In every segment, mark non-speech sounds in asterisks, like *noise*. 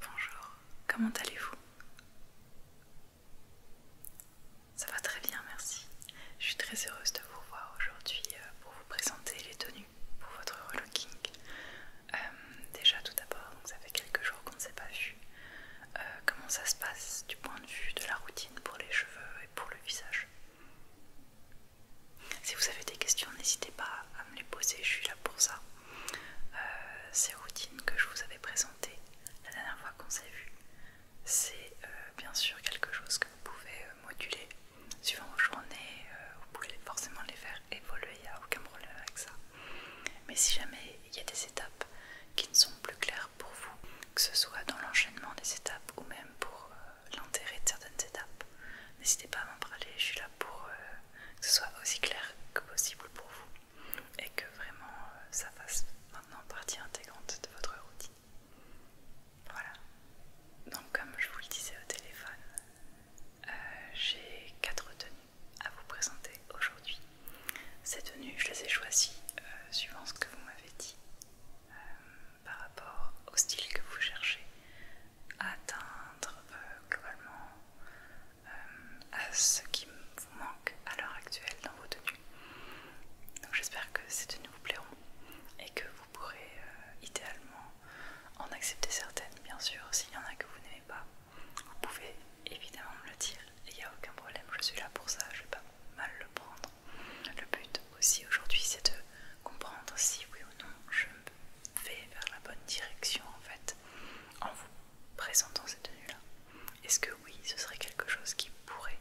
Bonjour, comment allez-vous Ça va très bien, merci. Je suis très heureuse de vous voir aujourd'hui euh, pour vous présenter les tenues pour votre relooking. Euh, déjà tout d'abord, ça fait quelques jours qu'on ne s'est pas vu. Euh, comment ça se passe du point de vue de la routine pour les cheveux et pour le visage. Si vous avez des questions, n'hésitez pas à me les poser, je suis là pour ça. Euh, ces routines que je vous avais présentées la dernière fois qu'on s'est vu, c'est euh, bien sûr quelque chose que vous pouvez moduler suivant vos journées. vous pouvez forcément les faire évoluer, il n'y a aucun problème avec ça. Mais si jamais il y a des étapes qui ne sont plus claires pour vous, que ce soit dans l'enchaînement des étapes ou même pour euh, l'intérêt de certaines étapes. N'hésitez pas à m'en parler, je suis là pour euh, que ce soit aussi clair que possible pour vous et que vraiment euh, ça fasse maintenant partie intégrante de votre routine. Voilà. Donc comme je vous le disais au téléphone, j'ai quatre tenues à vous présenter aujourd'hui. Ces tenues, je les ai choisies euh, suivant ce que vous m'avez dit euh, par rapport au style que vous cherchez à atteindre euh, globalement à ce qui vous manque à l'heure actuelle dans vos tenues. Donc j'espère que ces tenues vous plairont et que vous pourrez idéalement en accepter certaines, bien sûr, s'il y en a que vous n'aimez pas. Vous pouvez évidemment me le dire il n'y a aucun problème, je suis là pour ça, je ne vais pas mal le prendre. Le but aussi aujourd'hui c'est de comprendre si oui ou non je vais vers la bonne direction en fait en vous présentant cette tenue-là. Est-ce que oui, ce serait quelque chose qui pourrait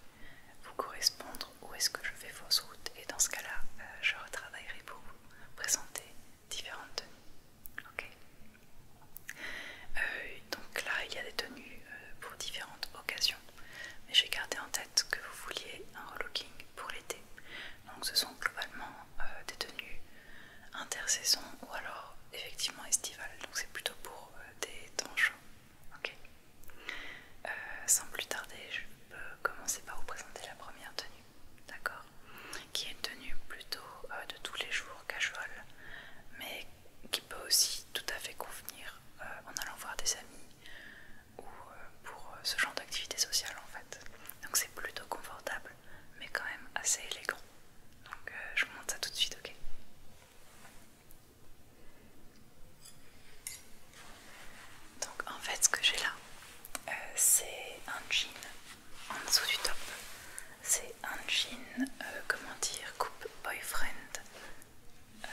vous correspondre ou est-ce que je fais fausse route et dans ce cas-là, euh, je retravaillerai pour vous présenter différentes tenues. Ok euh, donc là, il y a des tenues euh, pour différentes occasions. Mais j'ai gardé en tête que vous vouliez un relooking pour l'été. Donc ce sont globalement euh, des tenues intersaison ou alors effectivement estivales. Donc c'est plutôt pour des temps chauds. ok sans plus tarder, je peux commencer par vous présenter la première tenue. D'accord Qui est une tenue plutôt de tous les jours casual, mais qui peut aussi tout à fait convenir euh, en allant voir des amis ou euh, pour euh, ce genre d'activité sociale en fait. Donc c'est plutôt confortable mais quand même assez élégant. Donc je vous montre ça tout de suite, ok donc en fait ce que j'ai là, c'est un jean en dessous du top c'est un jean, euh, comment dire, coupe boyfriend euh,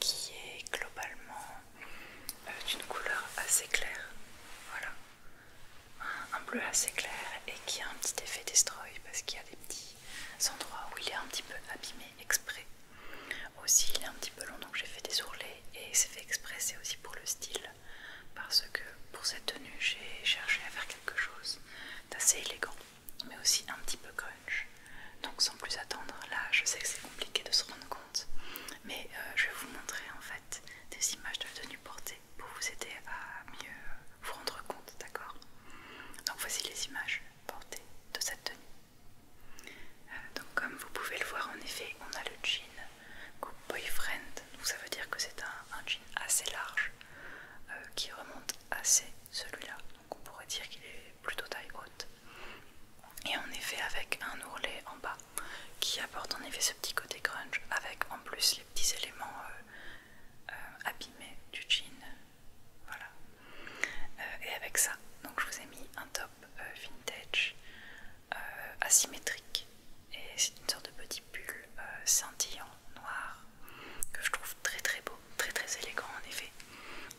qui est globalement euh, d'une couleur assez claire, voilà, un bleu assez clair et qui a un petit effet destroy parce qu'il y a des petits endroits où il est un petit peu abîmé exprès. Aussi il est un petit peu long donc j'ai fait des ourlets et c'est fait exprès, c'est aussi pour le style parce que pour cette tenue j'ai cherché à faire quelque chose d'assez élégant mais aussi un petit peu crunch. Donc sans plus attendre, là je sais que c'est compliqué de se rendre compte, mais euh, je vais vous montrer en fait des images de la tenue portée pour vous aider à mieux vous rendre compte, d'accord Donc voici les images portées de cette tenue. Euh, donc comme vous pouvez le voir en effet, on a le jean Coupe Boyfriend, donc ça veut dire que c'est un, jean assez large euh, qui remonte assez celui-là. Donc on pourrait dire qu'il est plutôt taille haute. Et en effet avec un ourlet en bas qui apporte en effet ce petit côté grunge avec en plus les petits éléments euh, euh, abîmés du jean. Voilà. Euh, et avec ça, donc je vous ai mis un top vintage asymétrique et c'est une sorte de petit pull scintillant noir que je trouve très très beau, très très élégant en effet.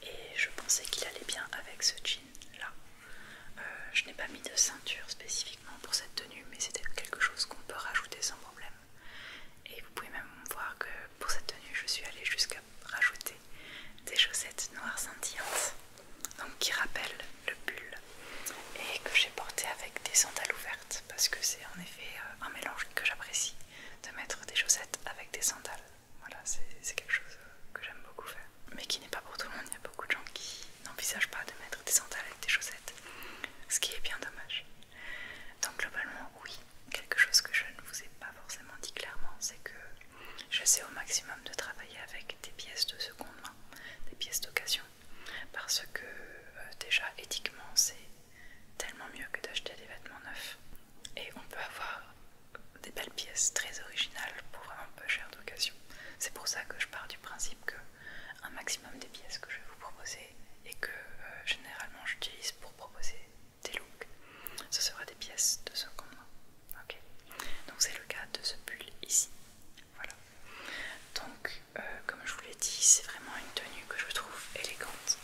Et je pensais qu'il allait bien avec ce jean là. Euh, je n'ai pas mis de ceinture spécifiquement pour cette tenue, mais c'était quelque chose qu'on peut rajouter sans problème. Et vous pouvez même voir que pour cette tenue, je suis allée jusqu'à rajouter des chaussettes noires scintillantes, donc qui rappellent le pull, et que j'ai porté avec des sandales ouvertes parce que c'est en effet euh, un mélange que j'apprécie de mettre des chaussettes avec des sandales. Voilà, c'est quelque chose que j'aime beaucoup faire. Mais qui n'est pas pour tout le monde, il y a beaucoup de gens qui n'envisagent pas de mettre des sandales avec des chaussettes. Ce qui est bien dommage. Donc globalement, oui, quelque chose que je ne vous ai pas forcément dit clairement, c'est que j'essaie au maximum de travailler avec des pièces de seconde main, des pièces d'occasion. Parce que euh, déjà éthiquement c'est tellement mieux que d'acheter des vêtements neufs. Et on peut avoir des belles pièces très originales pour vraiment peu cher d'occasion. C'est pour ça que je pars du principe que un maximum des pièces que je vais vous proposer et que euh, généralement j'utilise pour proposer des looks, ce sera des pièces de seconde main. Donc c'est le cas de ce pull ici. Voilà. Donc euh, comme je vous l'ai dit, c'est vraiment une tenue que je trouve élégante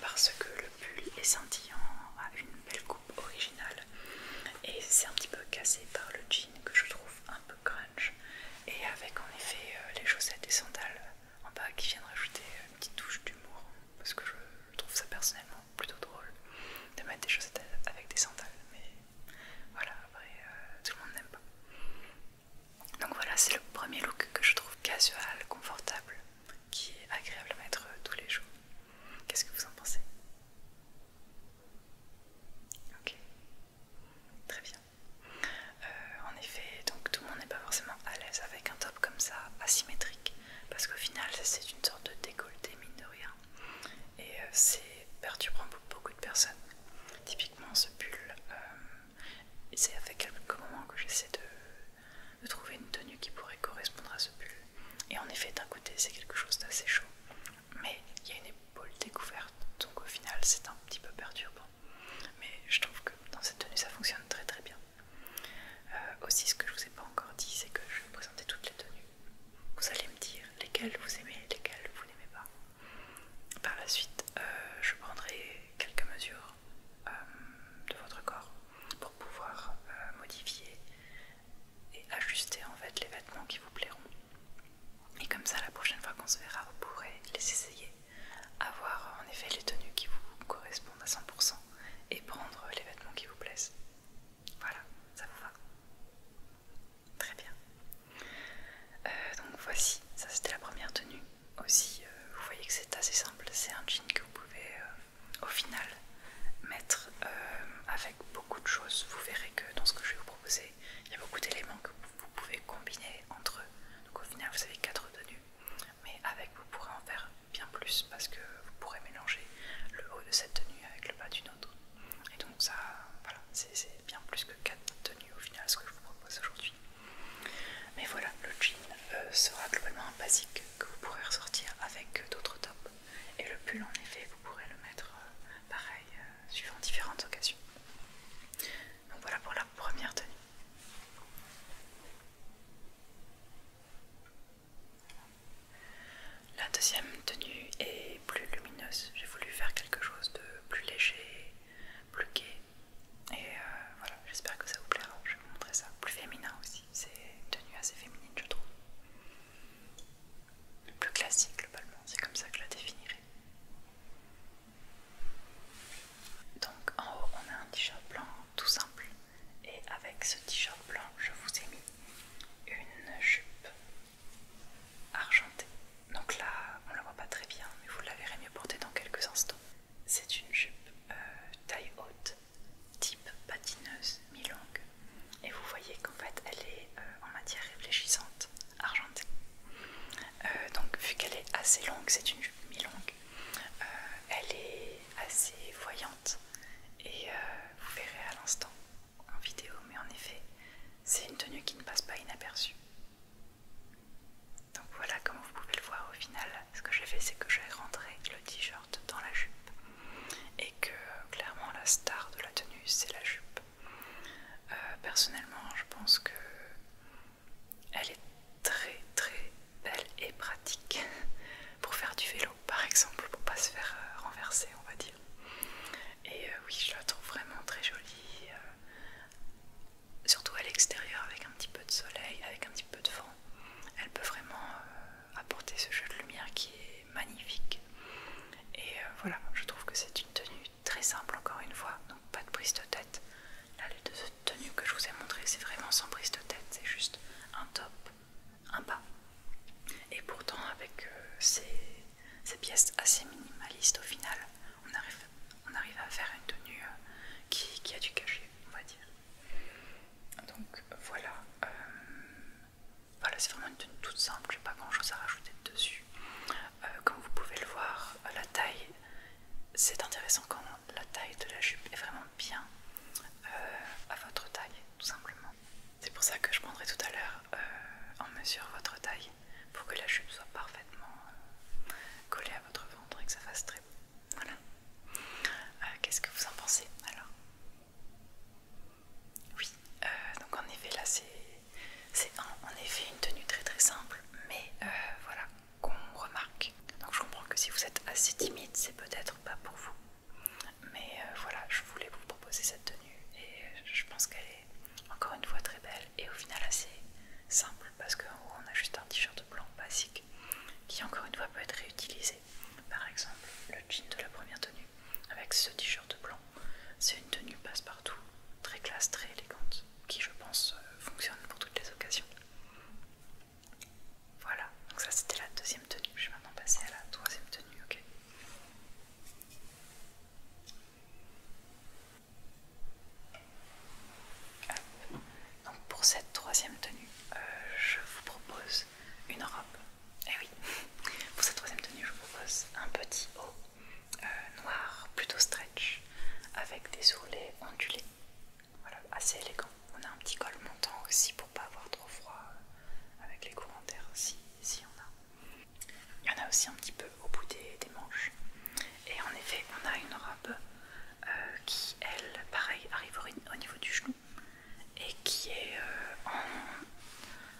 parce que le pull est scintillant, a une belle coupe originale et c'est un petit peu cassé par le jean que je trouve un peu crunch et avec en effet euh, les chaussettes et sandales en bas qui viennent rajouter une petite touche d'humour parce que je trouve ça personnellement plutôt drôle de mettre des chaussettes avec des sandales mais voilà après euh, tout le monde n'aime pas donc voilà, c'est le premier look que je trouve casual, confortable, qui est agréable à mettre euh, tous les jours. Qu'est-ce que vous en pensez Ok, très bien. Euh, en effet, donc tout le monde n'est pas forcément à l'aise avec un top comme ça, asymétrique, parce qu'au final, c'est une sorte de décolleté, mine de rien. Et euh, c'est perturbant pour beaucoup de personnes. Typiquement, ce pull, c'est avec quelques moments que j'essaie de, trouver une tenue qui pourrait correspondre à ce pull. Et en effet, d'un côté, c'est quelque chose d'assez chaud, mais il y a une épaule découverte, donc au final, c'est un petit peu perturbant. Mais je trouve que dans cette tenue, ça fonctionne très très bien. Euh, aussi, ce que je vous ai pas encore dit, c'est que je vais vous présenter toutes les tenues. Vous allez me dire lesquelles vous aimez, lesquelles vous n'aimez pas. Par la suite, euh, je prendrai quelques mesures euh, de votre corps, pour pouvoir euh, modifier et ajuster en fait les vêtements qui vous plairont. Et comme ça, la prochaine fois qu'on se verra, vous pourrez les essayer, avoir en effet les tenues qui vous correspondent à 100% et prendre les vêtements qui vous plaisent. Voilà, ça vous va Très bien. Euh, donc voici, ça c'était la première tenue aussi euh, vous voyez que c'est assez simple, c'est un jean que vous pouvez euh, au final mettre euh, avec beaucoup de choses, vous verrez que dans ce que je vais vous proposer il y a beaucoup d'éléments que vous pouvez combiner entre eux, donc au final vous avez quatre tenues, mais avec vous pourrez en faire bien plus parce que vous pourrez mélanger le haut de cette tenue avec le bas d'une autre, et donc ça, voilà, c'est bien plus que quatre tenues au final ce que je vous propose aujourd'hui. Mais voilà, le jean euh, sera globalement un basique que vous pourrez ressortir avec euh, d'autres tops. Et le pull, en effet, vous pourrez le mettre euh, pareil, suivant différentes occasions. Donc voilà pour la première tenue. La deuxième tenue est plus lumineuse. J'ai voulu faire quelque chose de plus léger, plus gai, et euh, voilà, j'espère que ça vous plaira. Je vais vous montrer ça. Plus féminin aussi, c'est une tenue assez féminine, je trouve. Plus classique, globalement, c'est comme ça que je la définirais. Donc en haut, on a un t-shirt blanc tout simple. Et avec ce t-shirt blanc, je vous ai mis une jupe argentée. Donc là, on la voit pas très bien, mais vous la verrez mieux portée dans quelques instants. C'est une jupe euh, taille haute, type patineuse, mi-longue. Et vous voyez qu'en fait elle est euh, en matière réfléchissante, argentée. Euh, donc vu qu'elle est assez longue, c'est une jupe mi-longue, elle est assez voyante. Et vous verrez à l'instant en vidéo, mais en effet, c'est une tenue qui ne passe pas inaperçue. Donc voilà, comme vous pouvez le voir au final, ce que j'ai fait c'est que j'ai rentré le t-shirt dans la jupe et que clairement la star de la tenue c'est la jupe. Euh, personnellement, je pense que elle est très très belle et pratique *laughs* pour faire du vélo par exemple, pour pas se faire euh, renverser on va dire. Et euh, oui, je la trouve vraiment très jolie surtout à l'extérieur avec un petit peu de soleil, avec un petit peu de vent, elle peut vraiment euh, apporter ce jeu de lumière qui est magnifique. Et euh, voilà, je trouve que c'est une tenue très simple encore une fois, donc pas de prise de tête. Là, les deux tenues que je vous ai montrées, c'est vraiment sans prise de tête, c'est juste un top, un bas. Et pourtant, avec euh, ces, pièces assez minimalistes au final, on arrive, à faire une tenue qui a du cachet on va dire. Donc euh, voilà, c'est vraiment une tenue toute simple, j'ai pas grand chose à rajouter dessus. Euh, comme vous pouvez le voir, euh, la taille, c'est intéressant quand la taille de la jupe est vraiment bien à votre taille, tout simplement. C'est pour ça que je prendrai tout à l'heure en mesure votre taille pour que la jupe soit parfaitement collée à votre ventre et que ça fasse très beau. Voilà. Euh, qu'est-ce que vous en pensez alors Oui, euh, donc en effet là c'est en, effet une tenue très très simple, mais euh, voilà, qu'on remarque. Donc je comprends que si vous êtes assez timide, c'est peut-être pas pour vous. Mais voilà, je voulais vous proposer cette tenue et je pense qu'elle est encore une fois très belle et au final assez simple parce qu'en on a juste un t-shirt blanc basique qui encore une fois peut être réutilisé. Par exemple, le jean de la première tenue avec ce t-shirt blanc, c'est une tenue passe-partout, très classe, très élégante, qui je pense euh, fonctionne pour toutes les occasions. Voilà, donc ça c'était la deuxième tenue, je vais maintenant passer à la troisième tenue, ok ah, donc pour cette troisième tenue, euh, je vous propose une robe. eh oui, *laughs* pour cette troisième tenue, je vous propose un petit haut euh, noir, plutôt stretch, avec des ourlets ondulés. Voilà, assez élégant. On a un petit col montant aussi pour pas avoir trop froid euh, avec les courants d'air si, si on a. Il y en a aussi un petit peu au bout des, des manches. Et en effet, on a une robe euh, qui elle, pareil, arrive au niveau du genou et qui est euh,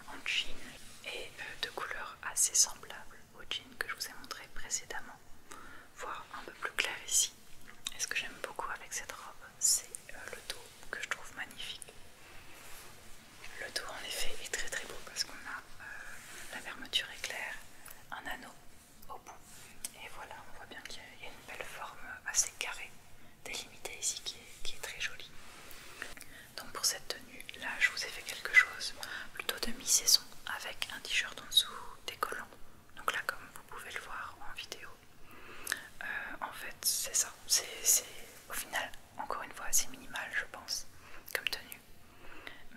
en, jean et euh, de couleur assez semblable au jean que je vous ai montré précédemment, voire un peu plus clair ici. Et ce que j'aime beaucoup avec cette robe, c'est le dos que je trouve magnifique. Le dos en effet est très très beau parce qu'on a la fermeture éclair, un anneau au bout. Et voilà, on voit bien qu'il y a une belle forme assez carrée, délimitée ici, qui est, très jolie. Donc pour cette tenue, là je vous ai fait quelque chose plutôt demi saison avec un t-shirt en dessous décollant. Donc là comme vous pouvez le voir en vidéo, euh, en fait c'est ça. C'est au final, encore une fois, c'est minimal je pense comme tenue.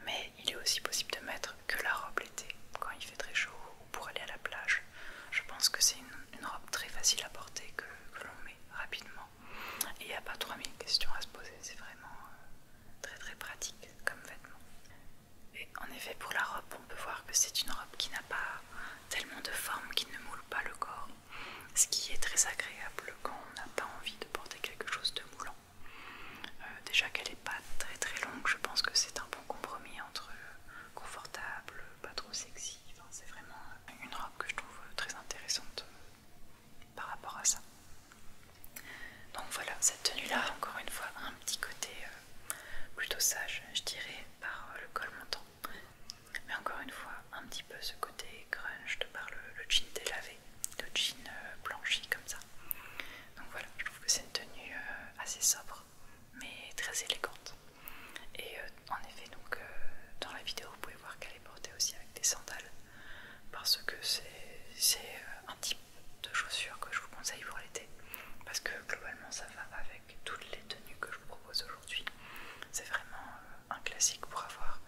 Mais il est aussi possible de mettre que la robe l'été, quand il fait très chaud ou pour aller à la plage. Je pense que c'est une, robe très facile à porter que, l'on met rapidement. Et il n'y a pas 3000 questions à se poser, c'est vraiment euh, très très pratique comme vêtement. Et en effet, pour la robe, on peut voir que c'est une robe qui n'a pas tellement de forme, qui ne moule pas le corps. Ce qui est très agréable quand on n'a pas envie de porter quelque chose de moulant. Euh, déjà qu'elle n'est pas très très longue, je pense que c'est un bon compromis entre euh, confortable, pas trop sexy. c'est vraiment une robe que je trouve euh, très intéressante par rapport à ça. Donc voilà, cette tenue-là, encore une fois, un petit côté plutôt sage, je dirais, par le col montant. Mais encore une fois, un petit peu ce côté grunge de par le, jean délavé, le jean blanchi comme ça. Donc voilà, je trouve que c'est une tenue euh, assez sobre mais très élégante. Et euh, en effet, donc euh, dans la vidéo, vous pouvez voir qu'elle est portée aussi avec des sandales parce que c'est un type de chaussures que je vous conseille pour l'été parce que globalement ça va avec toutes les tenues que je vous propose aujourd'hui. C'est vraiment un classique pour avoir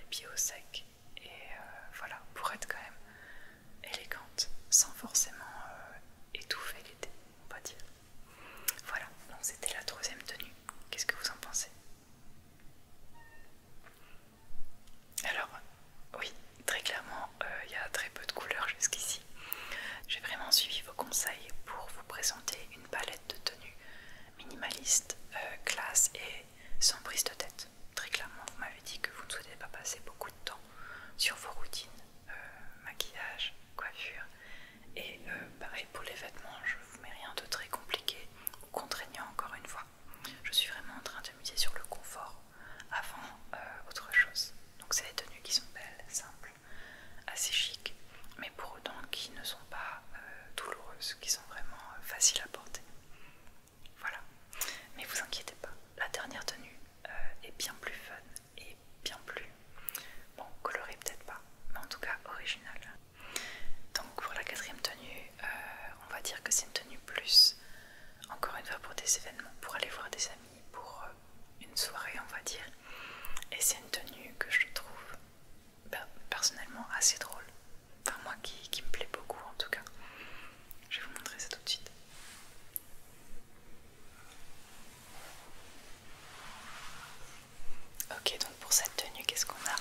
les pieds au sec et voilà, pour être quand même élégante, sans forcément euh, étouffer l'été, on va dire. Voilà, donc c'était la troisième tenue. Qu'est-ce que vous en pensez Alors, oui, très clairement, euh, il y a très peu de couleurs jusqu'ici. J'ai vraiment suivi vos conseils pour vous présenter une palette de tenues minimaliste, euh, classe et sans prise de tête. Très clairement, vous m'avez dit que vous ne souhaitez pas passer beaucoup de temps sur vos routines euh, maquillage, coiffure. Et euh, pareil pour les vêtements, je ne vous mets rien de très compliqué ou contraignant encore une fois. Je suis vraiment en train de miser sur le confort avant euh, autre chose. Donc c'est des tenues qui sont belles, simples, assez chic, mais pour autant qui ne sont pas douloureuses, qui sont vraiment faciles à porter. Voilà. Mais vous inquiétez pas, la dernière tenue euh, est bien plus fun et bien plus... Bon, colorée peut-être pas, mais en tout cas originale. Donc pour la quatrième tenue, euh, on va dire que c'est une tenue plus, encore une fois pour des événements, pour aller voir des amis, pour euh, une soirée on va dire. Et c'est une tenue que je trouve bah, personnellement assez drôle. Enfin moi qui me plaît beaucoup en tout cas. Je vais vous montrer ça tout de suite. Ok, donc pour cette tenue, qu'est-ce qu'on a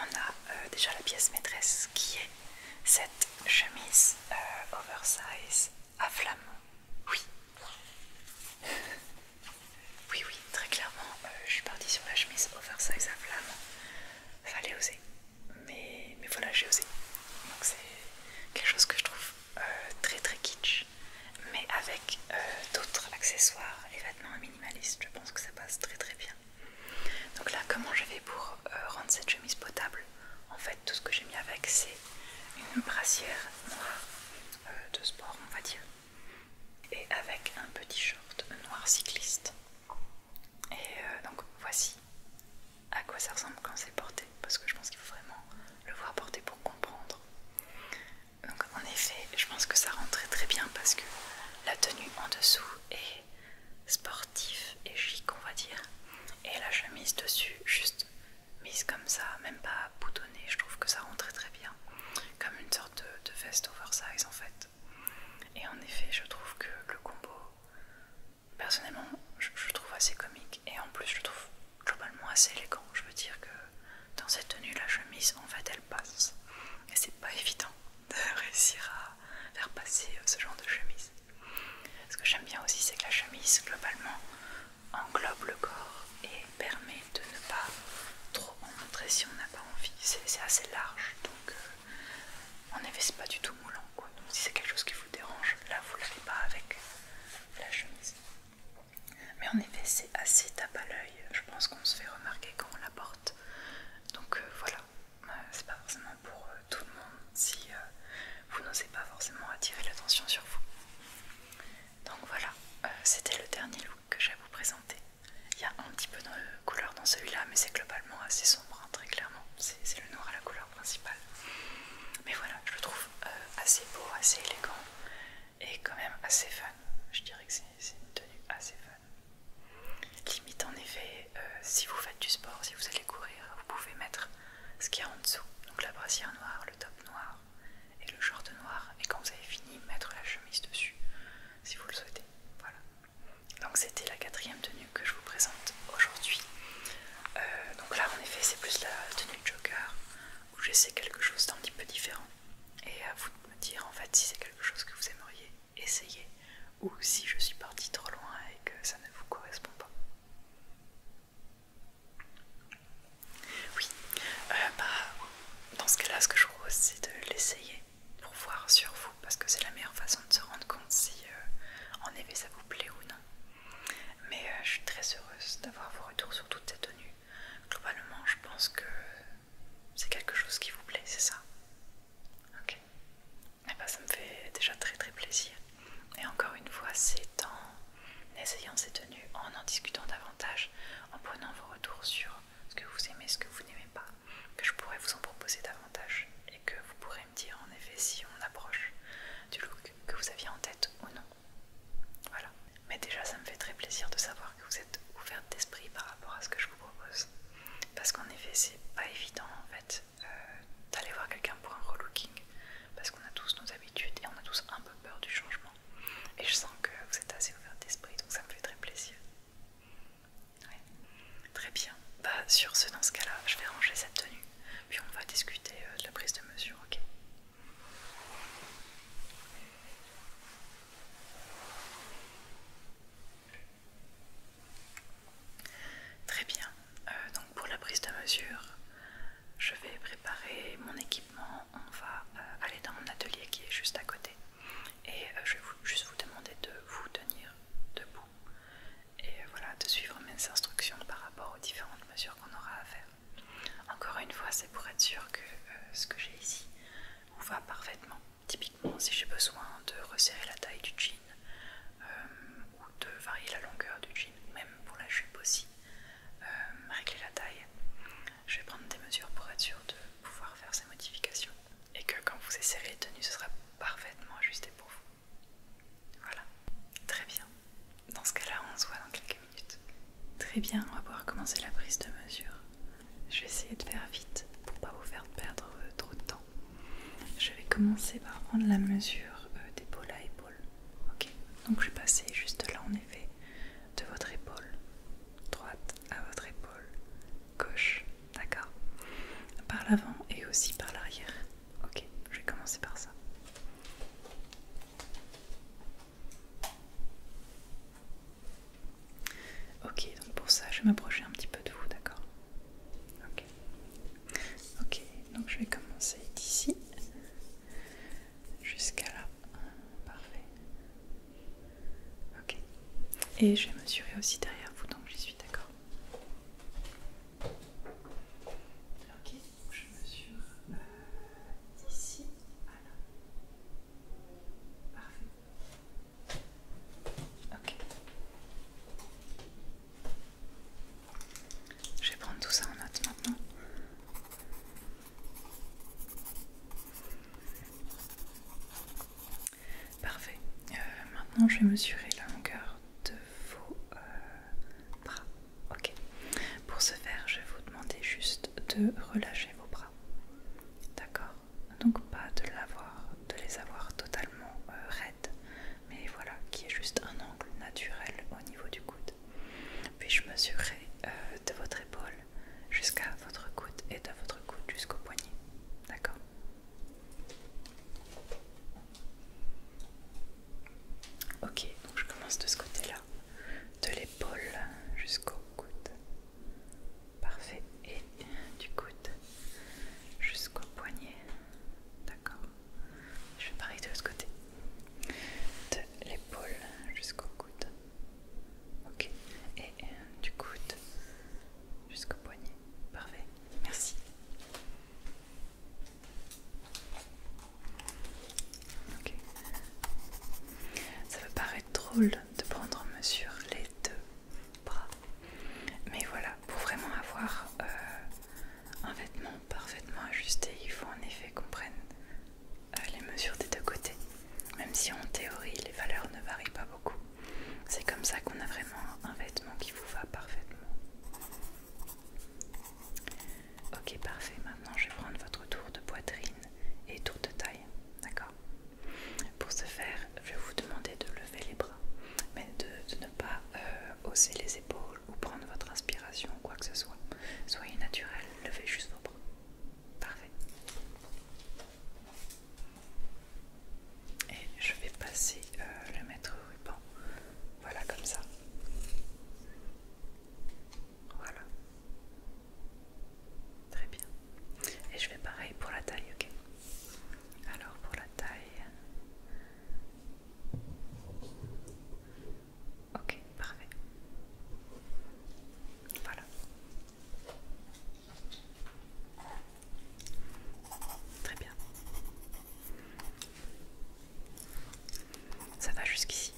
On a euh, déjà la pièce maîtresse qui est cette chemise euh, oversize à flamme. Oui. *laughs* oui, oui, très clairement, euh, je suis partie sur la chemise oversize à flamme. Fallait oser mais, mais voilà, j'ai osé. Donc c'est quelque chose que je trouve euh, très très kitsch, mais avec euh, d'autres accessoires les vêtements minimalistes, je pense que ça passe très très bien. Donc là, comment je vais pour euh, rendre cette chemise potable En fait, tout ce que j'ai mis avec, c'est une brassière noire de sport, on va dire, et avec un petit short noir cycliste. Et donc voici à quoi ça ressemble quand c'est porté parce que je pense qu'il faut vraiment le voir porter pour comprendre. Donc en effet, je pense que ça rentrait très bien parce que la tenue en dessous est sportive et chic on va dire et la chemise dessus juste mise comme ça, même pas boutonnée, je trouve que ça rentrait très bien comme une sorte de veste oversize en fait. Et en effet, je trouve que le combo personnellement je, le trouve assez comique et en plus je trouve globalement assez élégant. Je veux dire que dans cette tenue la chemise en fait elle passe et c'est pas évident de *laughs* réussir à faire passer euh, ce genre de chemise. Ce que j'aime bien aussi c'est que la chemise globalement englobe le corps et permet de ne pas trop en montrer si on n'a pas envie. C'est assez large donc on euh, en pas du tout moulant quoi. Donc si c'est quelque chose dérange. Là, vous l'avez pas avec la chemise. Mais en effet, c'est assez tape à l'œil. Je pense qu'on se fait remarquer quand on la porte. Donc euh, voilà, euh, c'est pas forcément pour euh, tout le monde si vous n'osez pas forcément attirer l'attention sur vous. Donc voilà, c'était le dernier look que j'ai à vous présenter. Il y a un petit peu de couleur dans celui-là, mais c'est globalement assez sombre, hein, très clairement. C'est le noir à la couleur principal. Mais voilà, je le trouve euh, assez beau, assez élégant et quand même assez fun. Je dirais que c'est une tenue assez fun. Limite en effet, euh, si vous faites du sport, si vous allez courir, vous pouvez mettre ce qu'il y a en dessous. Donc la brassière noire, le top noir et le short noir. Et quand vous avez fini, mettre la chemise dessus si vous le souhaitez. Voilà donc c'était la quatrième tenue que je vous présente aujourd'hui. Euh, donc là en effet c'est plus la tenue Joker où j'essaie quelque chose d'un petit peu différent et à vous de me dire en fait si c'est quelque chose que vous aimeriez essayer ou si je suis partie trop loin et que ça ne vous correspond pas. Oui, euh, bah, dans ce cas-là, ce que je propose, c'est de l'essayer pour voir sur vous, parce que c'est la meilleure façon de se rendre compte si euh, en effet ça vous plaît ou non. Mais euh, je suis très heureuse d'avoir vos retours sur toutes ces tenues. Globalement, je pense que c'est quelque chose qui vous plaît, c'est ça Ok. Eh ben, ça me fait déjà très très plaisir. Et encore une fois, c'est en essayant ces tenues, en en discutant davantage, en prenant vos retours sur ce que vous aimez, ce que vous n'aimez pas, que je pourrais vous en proposer davantage et que vous pourrez dire en effet si on approche du look que vous aviez en tête ou non. Voilà. Mais déjà, ça me fait très plaisir de savoir que vous êtes ouverte d'esprit par rapport à ce que je vous propose. Parce qu'en effet, c'est pas évident en fait euh, d'aller voir quelqu'un pour un relooking. Parce qu'on a tous nos habitudes et on a tous un peu peur du changement. Et je sens que vous êtes assez ouverte d'esprit, donc ça me fait très plaisir. Très bien. Bah, sur ce, dans ce cas-là, je vais ranger cette tenue puis on va discuter euh, de la prise de mesure, ok Très bien, euh, donc pour la prise de mesure, je vais préparer mon équipement, on va euh, aller dans mon atelier qui est juste à côté et je vais juste vous demander de vous tenir debout et voilà, de suivre mes instructions par rapport aux différentes mesures qu'on aura à faire. Encore une fois, c'est pour être sûr que euh, ce que j'ai ici vous va parfaitement. Typiquement, si j'ai besoin de resserrer la taille du jean euh, ou de varier la longueur du jean, même pour la jupe aussi, euh, régler la taille, je vais prendre des mesures pour être sûr de pouvoir faire ces modifications et que quand vous essayerez les tenues, ce sera parfaitement ajusté pour vous. Voilà, très bien. Dans ce cas-là, on se voit dans quelques minutes. Très bien, on va pouvoir commencer la prise de mesure. Je vais essayer de faire vite pour pas vous faire perdre euh, trop de temps. Je vais commencer par prendre la mesure euh, d'épaule à épaule. Ok, donc je vais passer juste là en effet de votre épaule droite à votre épaule gauche, d'accord Par l'avant et aussi par l'arrière. Ok, je vais commencer par ça. Ok, donc pour ça, je vais m'approcher un petit peu de vous, d'accord Ok. Ok, donc je vais commencer d'ici jusqu'à là. Parfait. Ok. Et je vais mesurer aussi derrière vous, donc j'y suis, d'accord Ok, je mesure euh, d'ici à là. Parfait. Ok. Je vais prendre tout ça en note maintenant. Parfait. Euh, maintenant, je vais mesurer la longueur de vos euh, bras. Ok. Pour ce faire, je vais vous demander juste de relâcher vos bras. D'accord Donc pas de, de les avoir totalement euh, raides, mais voilà, qui est juste un angle naturel au niveau du coude. Puis je mesurerai euh, de votre épaule jusqu'à votre coude et de votre coude jusqu'au poignet. D'accord Ok, donc je commence de ce côté-là, de l'épaule jusqu'au coude. Parfait. Et du coude jusqu'au poignet. D'accord. Je fais pareil de l'autre côté. De l'épaule jusqu'au coude. Ok. Et du coude jusqu'au poignet. Parfait, merci. Ça peut paraître drôle de prendre en mesure les deux bras. Mais voilà, pour vraiment avoir euh, un vêtement parfaitement ajusté, il faut en effet qu'on prenne euh, les mesures des deux côtés. Même si en théorie les valeurs ne varient pas beaucoup. C'est comme ça qu'on a vraiment un vêtement qui vous va parfaitement. Ok, parfait. Maintenant, je vais prendre votre tour de poitrine et tour de taille. D'accord Pour ce faire, je vais vous demander de lever les bras, mais de, ne pas euh, hausser les épaules ou prendre votre inspiration ou quoi que ce soit. Soyez naturel, levez juste vos bras. Parfait et je vais passer euh, le mètre ruban. Voilà, comme ça. Voilà. Très bien. Et je fais pareil pour la taille, ok Alors pour la taille... Ok, parfait. Voilà. Très bien. Ça va jusqu'ici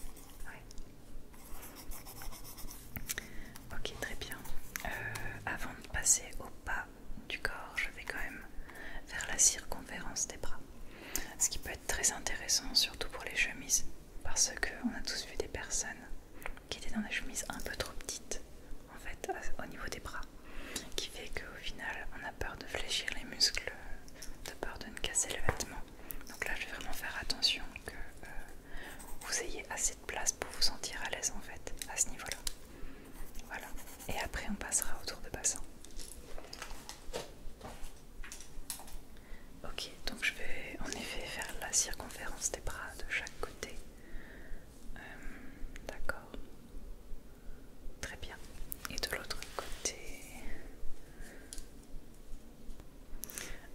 Ok, très bien. Euh, avant de passer au pas du corps, je vais quand même faire la circonférence des bras. Ce qui peut être très intéressant, surtout pour les chemises, parce qu'on a tous vu des personnes qui étaient dans des chemises un peu trop petites fait au niveau des bras qui fait qu'au final on a peur de fléchir les muscles de peur de ne casser le vêtement donc là je vais vraiment faire attention que euh, vous ayez assez de place pour vous sentir à l'aise en fait à ce niveau là voilà et après on passera autour de bassin ok donc je vais en effet faire la circonférence des bras de chaque côté euh, d'accord. Très bien. Et de l'autre côté...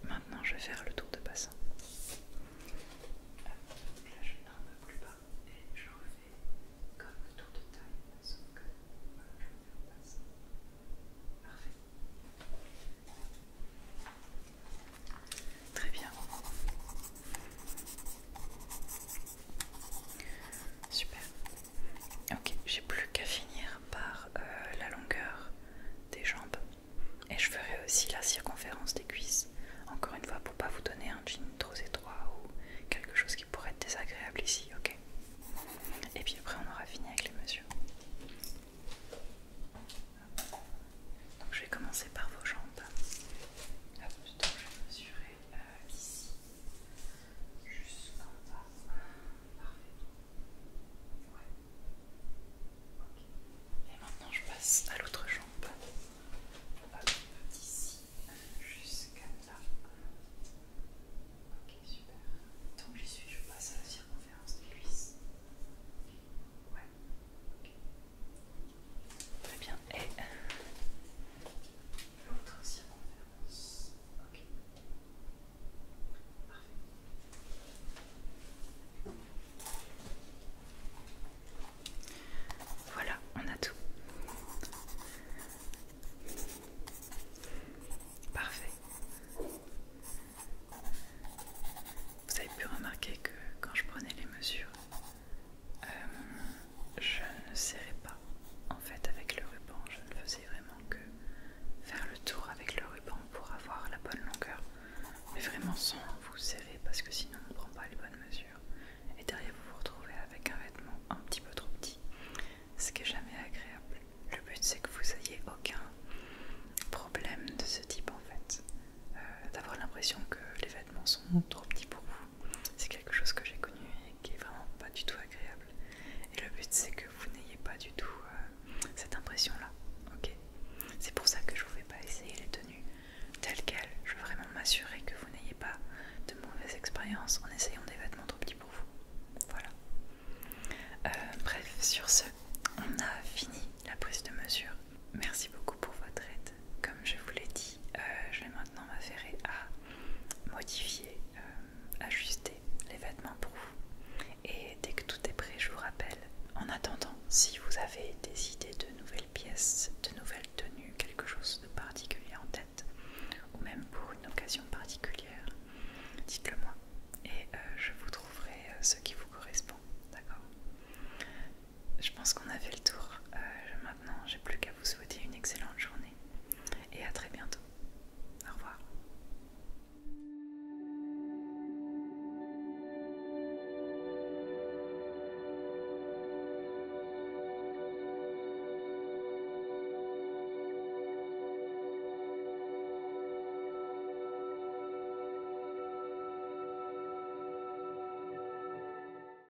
Maintenant, je vais faire le tour de bassin. Euh, là, je n'arme plus bas et je refais comme le tour de taille. que bassin. Parfait. Très bien. Super. Ok, j'ai plus qu'à finir par euh, la longueur des jambes. Et je ferai aussi la circonférence des cuisses. Encore une fois, pour pas vous donner un jean trop étroit ou quelque chose qui pourrait être désagréable ici, ok Et puis après, on aura fini avec les mesures. Donc je vais commencer par vos jambes. je jusqu'en bas. Parfait. Et maintenant je passe à l'autre jambe. d'ici jusqu'à là. Ok, super. Tant que j'y suis, je passe à la circonférence des cuisses. Ouais. Très bien. Et L'autre circonférence. Ok. Parfait. Voilà, on a tout. Parfait. Vous avez pu remarquer que quand je prenais les mesures, euh, je ne serrais pas en fait avec le ruban, je ne faisais vraiment que faire le tour avec le ruban pour avoir la bonne longueur, mais vraiment sans vous serrer parce que sinon on ne prend pas les bonnes mesures. Et derrière vous vous retrouvez avec un vêtement un petit peu trop petit, ce qui n'est jamais agréable. Le but c'est que vous ayez aucun problème de ce type en fait, euh, d'avoir l'impression que les vêtements sont trop petits pour vous c'est quelque chose que j'ai connu et qui est vraiment pas du tout agréable. Et le but c'est que vous n'ayez pas du tout euh, cette impression là, ok C'est pour ça que je vous fais pas essayer les tenues telles quelles. Je veux vraiment m'assurer que vous n'ayez pas de mauvaises expériences en essayant des vêtements trop petits pour vous. Voilà. Euh, bref, sur ce, on a fini la prise de mesure. Merci beaucoup pour votre aide comme je vous l'ai dit, euh, je vais maintenant m'affairer à modifier, euh, ajuster les vêtements pour vous. Et dès que tout est prêt, je vous rappelle. En attendant, si vous avez des idées de nouvelles pièces, de nouvelles tenues, quelque chose de particulier en tête, ou même pour une occasion particulière, dites-le moi et euh, je vous trouverai ce qui vous correspond. D'accord je pense qu'on a fait le tour. Euh, maintenant, j'ai plus qu'à vous souhaiter une excellente journée et à très bientôt. Au revoir.